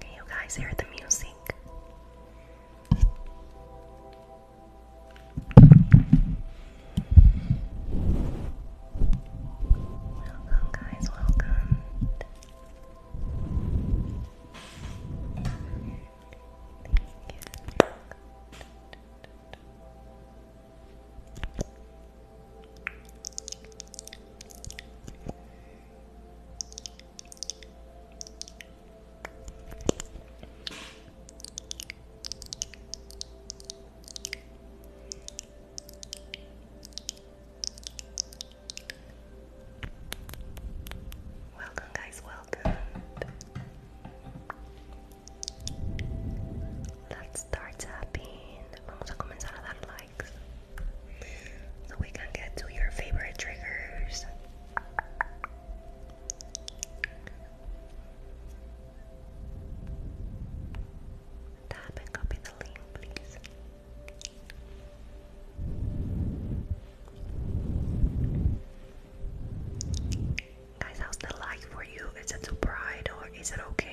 Can you guys hear the music? Welcome, guys, welcome. Thank you. Welcome, guys, welcome. Let's start tapping. Vamos a comenzar a dar likes so we can get to your favorite triggers. Tap and copy the link, please. Guys, how's the light for you? Is it too bright or is it okay?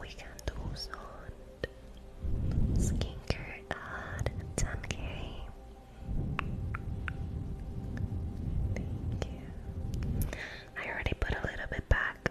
We can do some skincare ad tan care. Thank you. I already put a little bit back.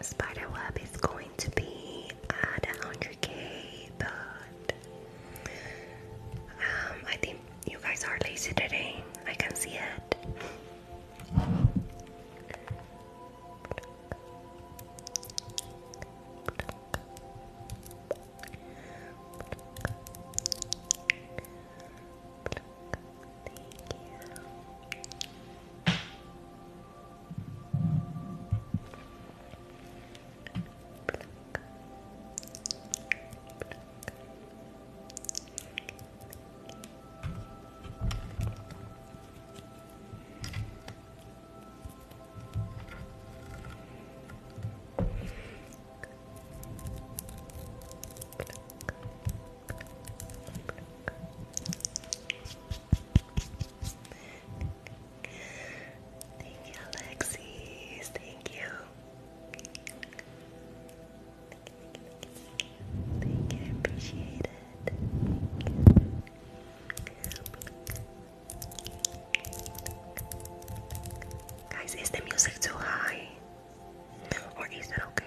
A spider web is going to be at 100k, but um, I think you guys are lazy today. I can see it. Thank you, Alexis. Thank you. Guys, is the music too high? Or is that okay?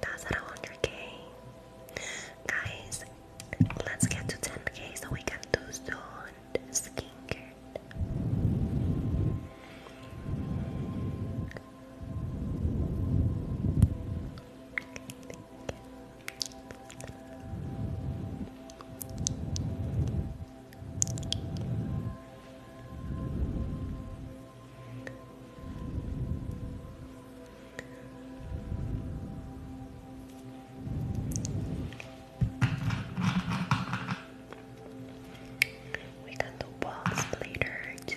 That's at 100k. Guys, let's get to 10k so we can do zone skincare. We got the balls later too.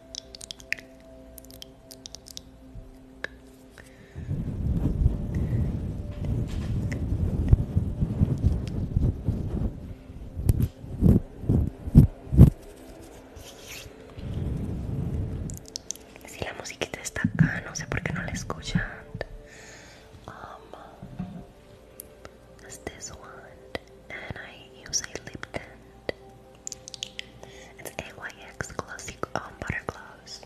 Si la musiquita está acá, no sé por qué no la escuchan. Um, this one, and I use a lip tend. It's AYX close Butter Gloss.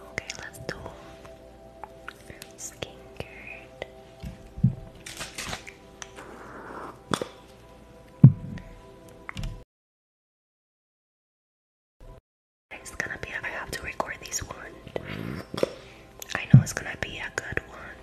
Okay, let's do skincare. It's gonna be. I have to record this one. I know it's gonna be a good one.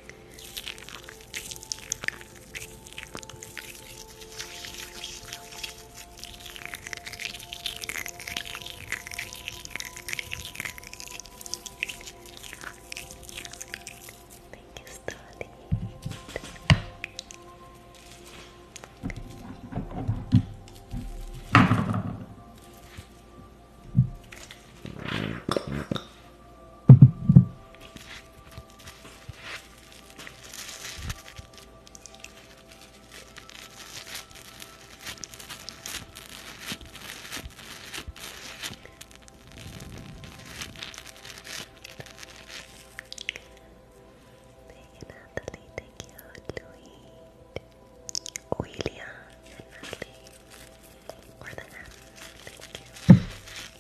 Thank you, Starly. Thank you, Natalie. Thank you, Louis. William and Natalie. Or the F. Thank you.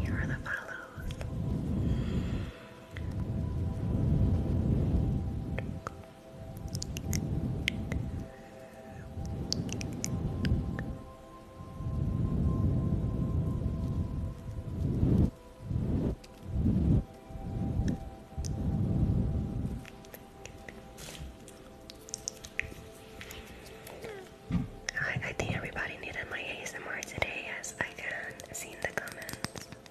Here are the follows. I, I think everybody needed my ASMR today, as I can see in the comments.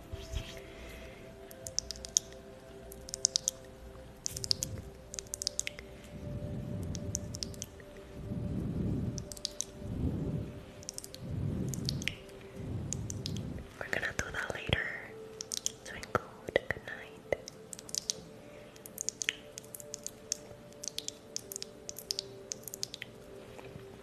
We're gonna do that later. Twinkle, good night.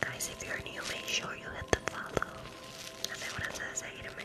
Guys, if you're new, make sure you hit the follow. Asegúrate de seguirme.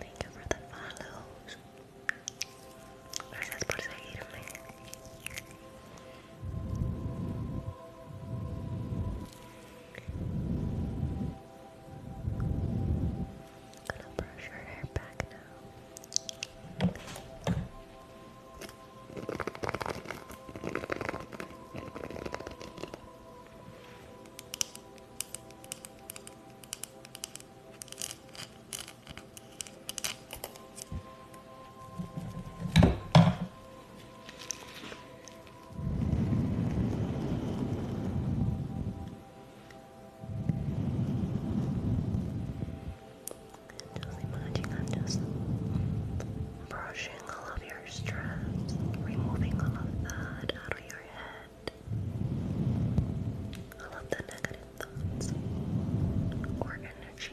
Thank you for the follows. Gracias por seguirme. I'm gonna brush her hair back now. Just imagine I'm just brushing all of your straps, removing all of that out of your head. All of the negative thoughts or energy.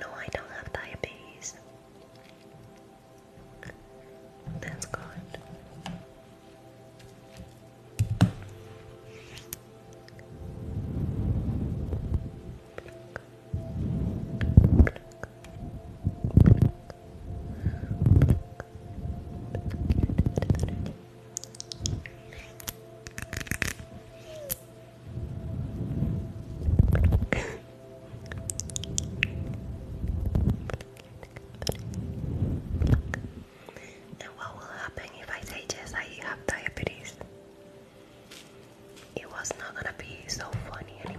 No, I don't have diabetes. That's good. And what will happen if I say yes, I have diabetes? It was not gonna be so funny anymore.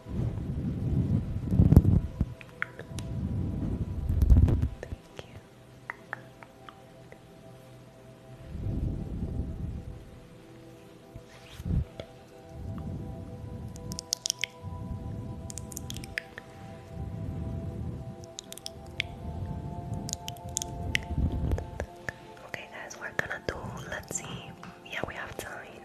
Okay, guys, we're gonna do. Let's see. Yeah, we have time.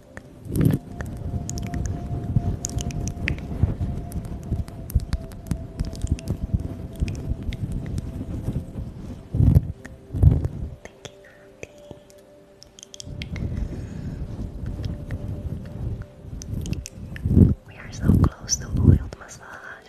We are so close to oiled massage.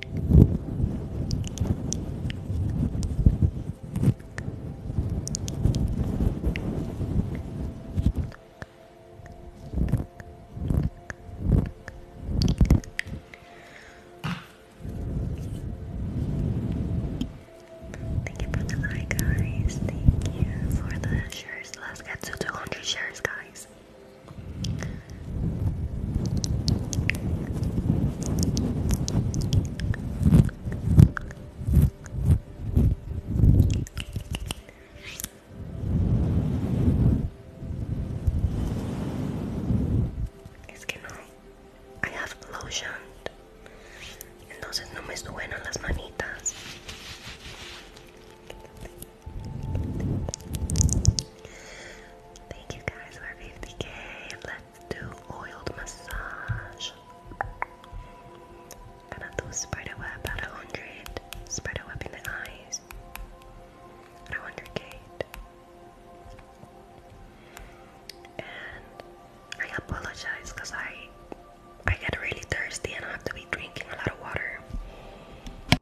Thank you for the like, guys. Thank you for the shares. Let's get to 200 shares, guys. Es que no, I have lotion, entonces no me suenan las manitas. Thank you guys for 50k. Let's do oiled massage. Gonna do spider web at 100. Spider web in the eyes. At 100k. And I apologize because I I get really thirsty and I have to be drinking a lot of water.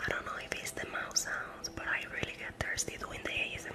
I don't know if it's the mouse sounds, but I really get thirsty doing the ASMR.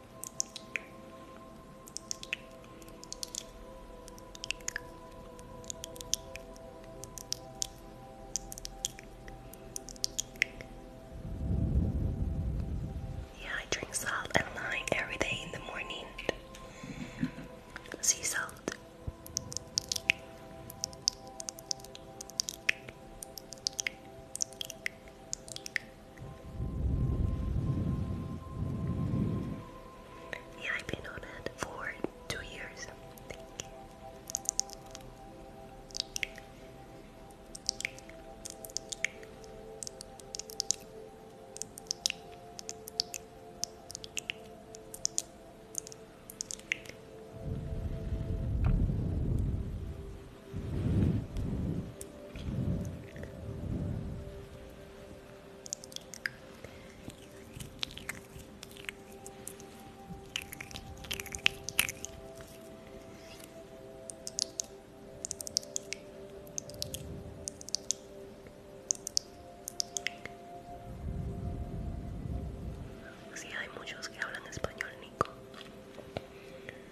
Yeah, I drink salt and lime every day in the morning. Sea salt. Yeah, I've been on it for two years. Thank you. Sí, hay muchos que hablan español, Nico.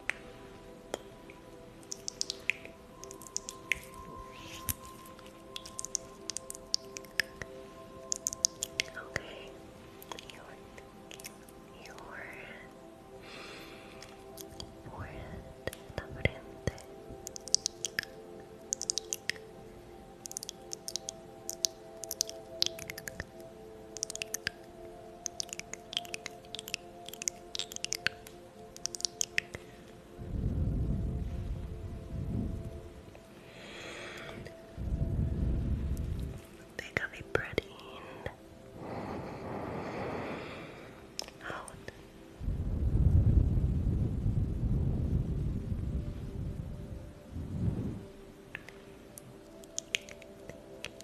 Okay, your your forehead, la frente. They got me protein out. Thank you.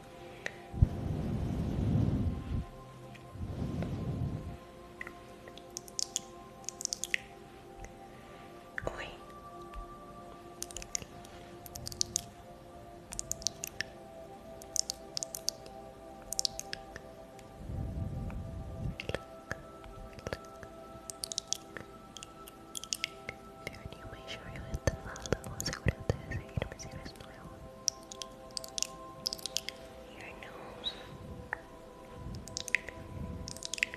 Oi. Ter nenhuma enxurrada, nada, você cuidar da receita, mas eles não é your nose. Your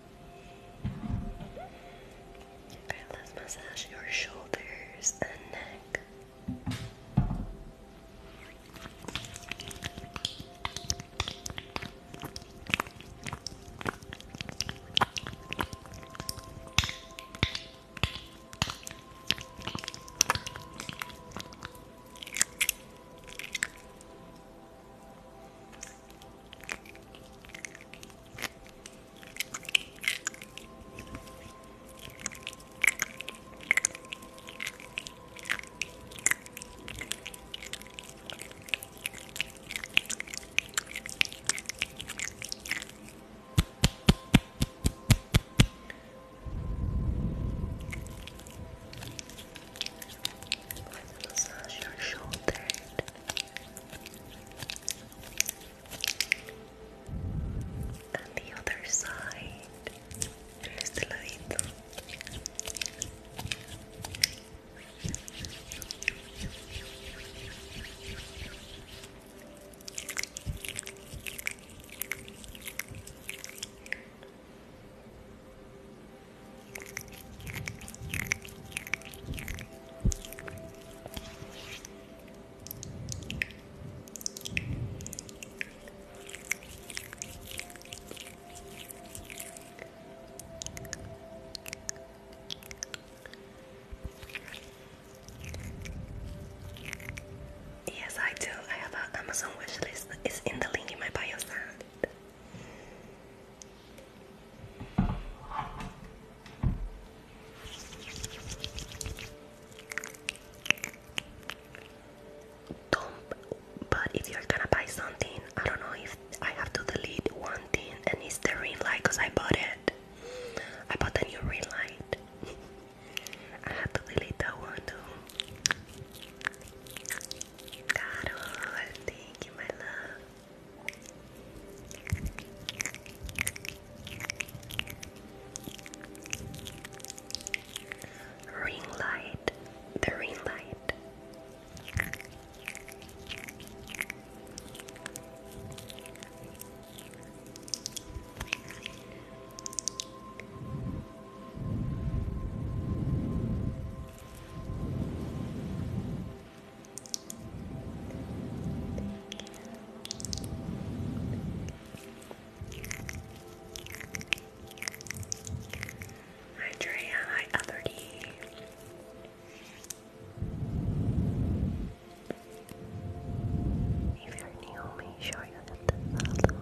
let's massage your shoulders and neck. Massage your shoulder. And the other side, en este ladito. Yes, I do. I have an Amazon wish list. It's in the link in my bio. Sound but if you're gonna buy something, I don't know if I have to delete one thing, and it's the ring light because I bought it. I bought the new ring light. I had to delete that one too. Carol, thank you, my love. Ring light, the ring light. Hi hi Alberty. If you're new, make sure you hit the follow.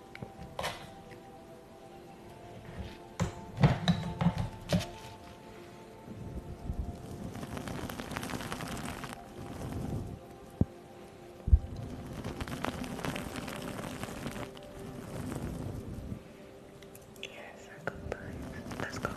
Yes, I compliant. Let's go.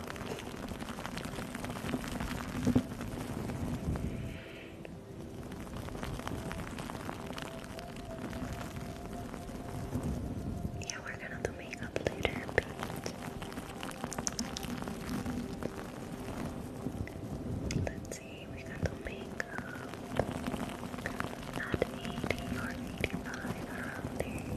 Yeah, we're gonna do makeup later, Let's see, we got the makeup at 80 or 85 around there.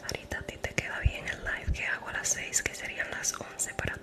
Sarita, a ti te queda bien el live que hago a las 6, que serían las 11 para ti.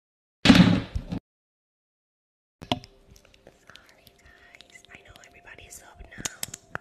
Sorry, guys. I know everybody's up now.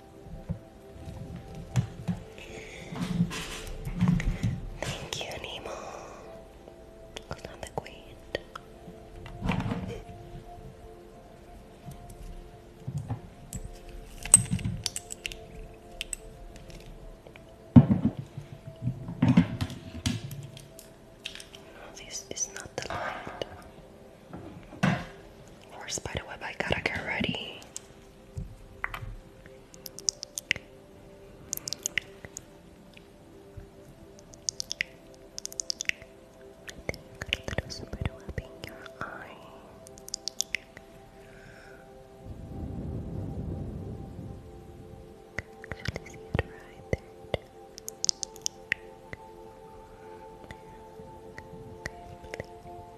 Thank you, Nemo. Good on the queen. this is not the light. More spiderweb, I gotta get ready. I think a little spiderweb in your eye. Actually, see it right there.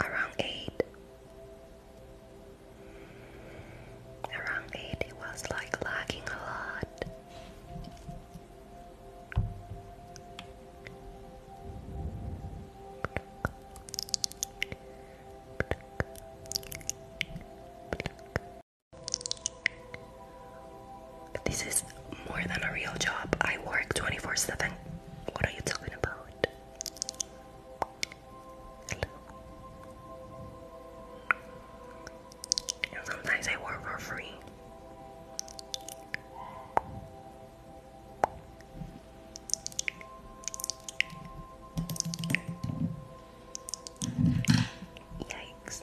around 8. Around 8, it was like lagging a lot. This is more than a real job. I work 24 7. What are you talking about? And sometimes they work for free. Yikes.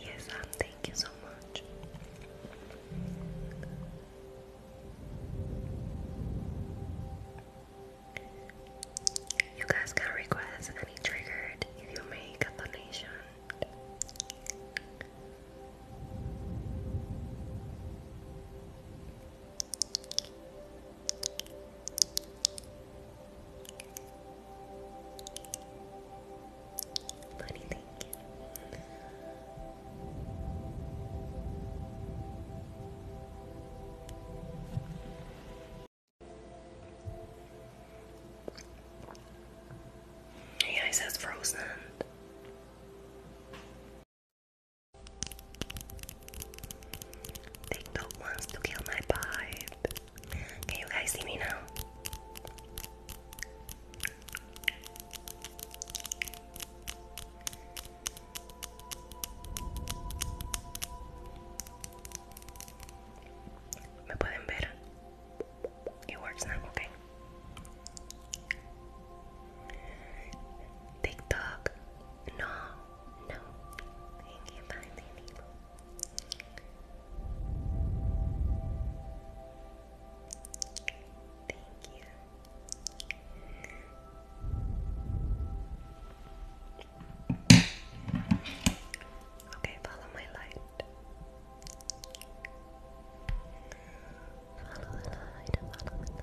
Yes, um, thank you so much. You guys can request any triggered if you make a donation. He thank says frozen. TikTok wants to kill my vibe. Can you guys see me now? ¿Me pueden ver? It works now, okay. TikTok, no no, you can't find any people. Thank you. Okay, follow my light. Follow the light, follow the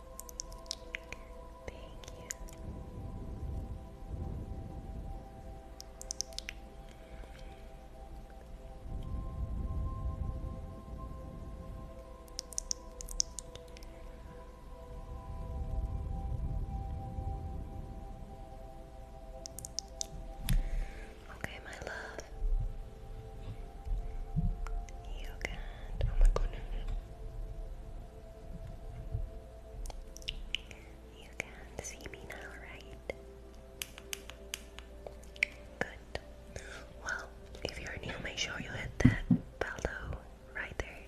Thank you. Okay, my love. You Oh my goodness. You can see me now, right? Good. Well, if you're new, make sure you hit that bell right there.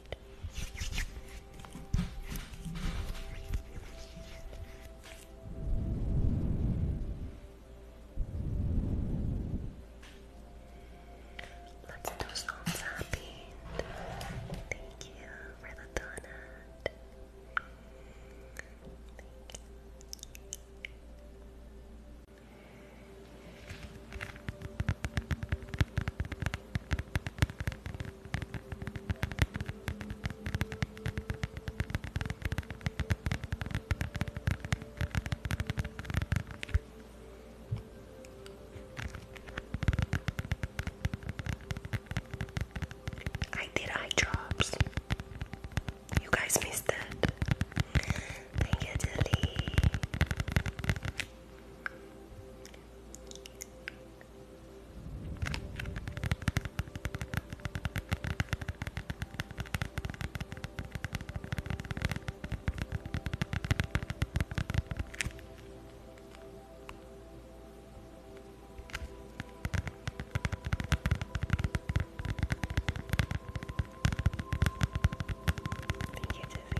Let's do some tapping. Thank you for the donut. Thank you. I did eye drops. You guys missed that. Thank you, Dilly. Thank you, Jessica.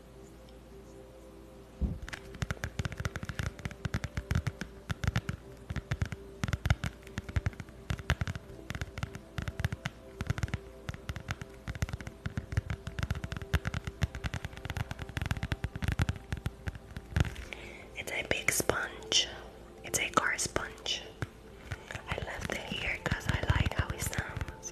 It's a big sponge. It's a car sponge. I love the ear because I like how it sounds.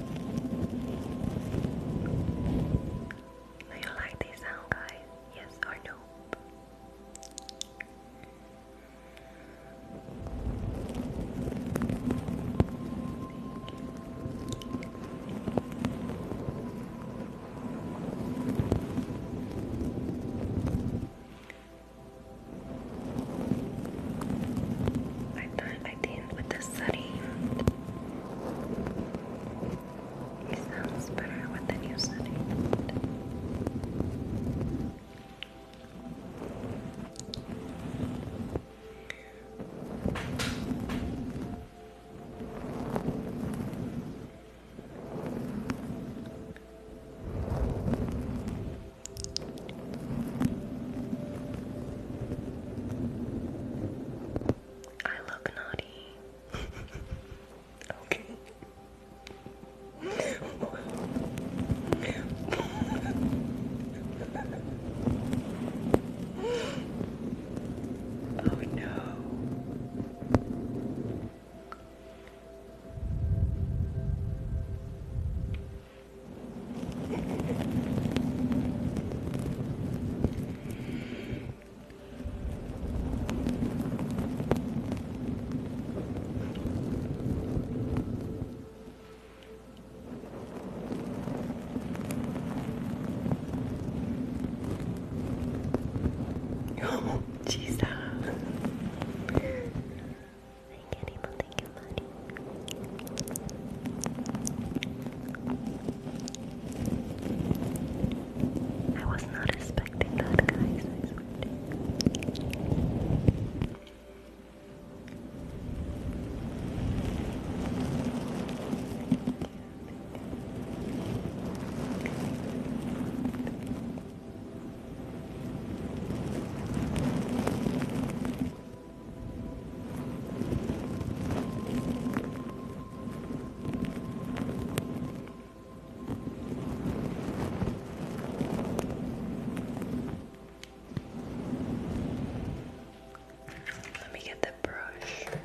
Do you like this sound, guys? Yes or no? I time with the setting, it sounds better with the new setting. I look naughty. okay. oh no. Oh, Jesus. Thank you, Thank you I was not expecting that, guys. I swear Thank you. Let me get the brush.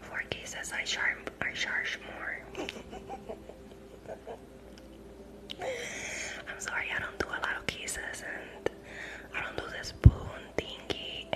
Forky says I charm I charge more. I'm sorry, I don't do a lot of kisses and I don't do the spoon thingy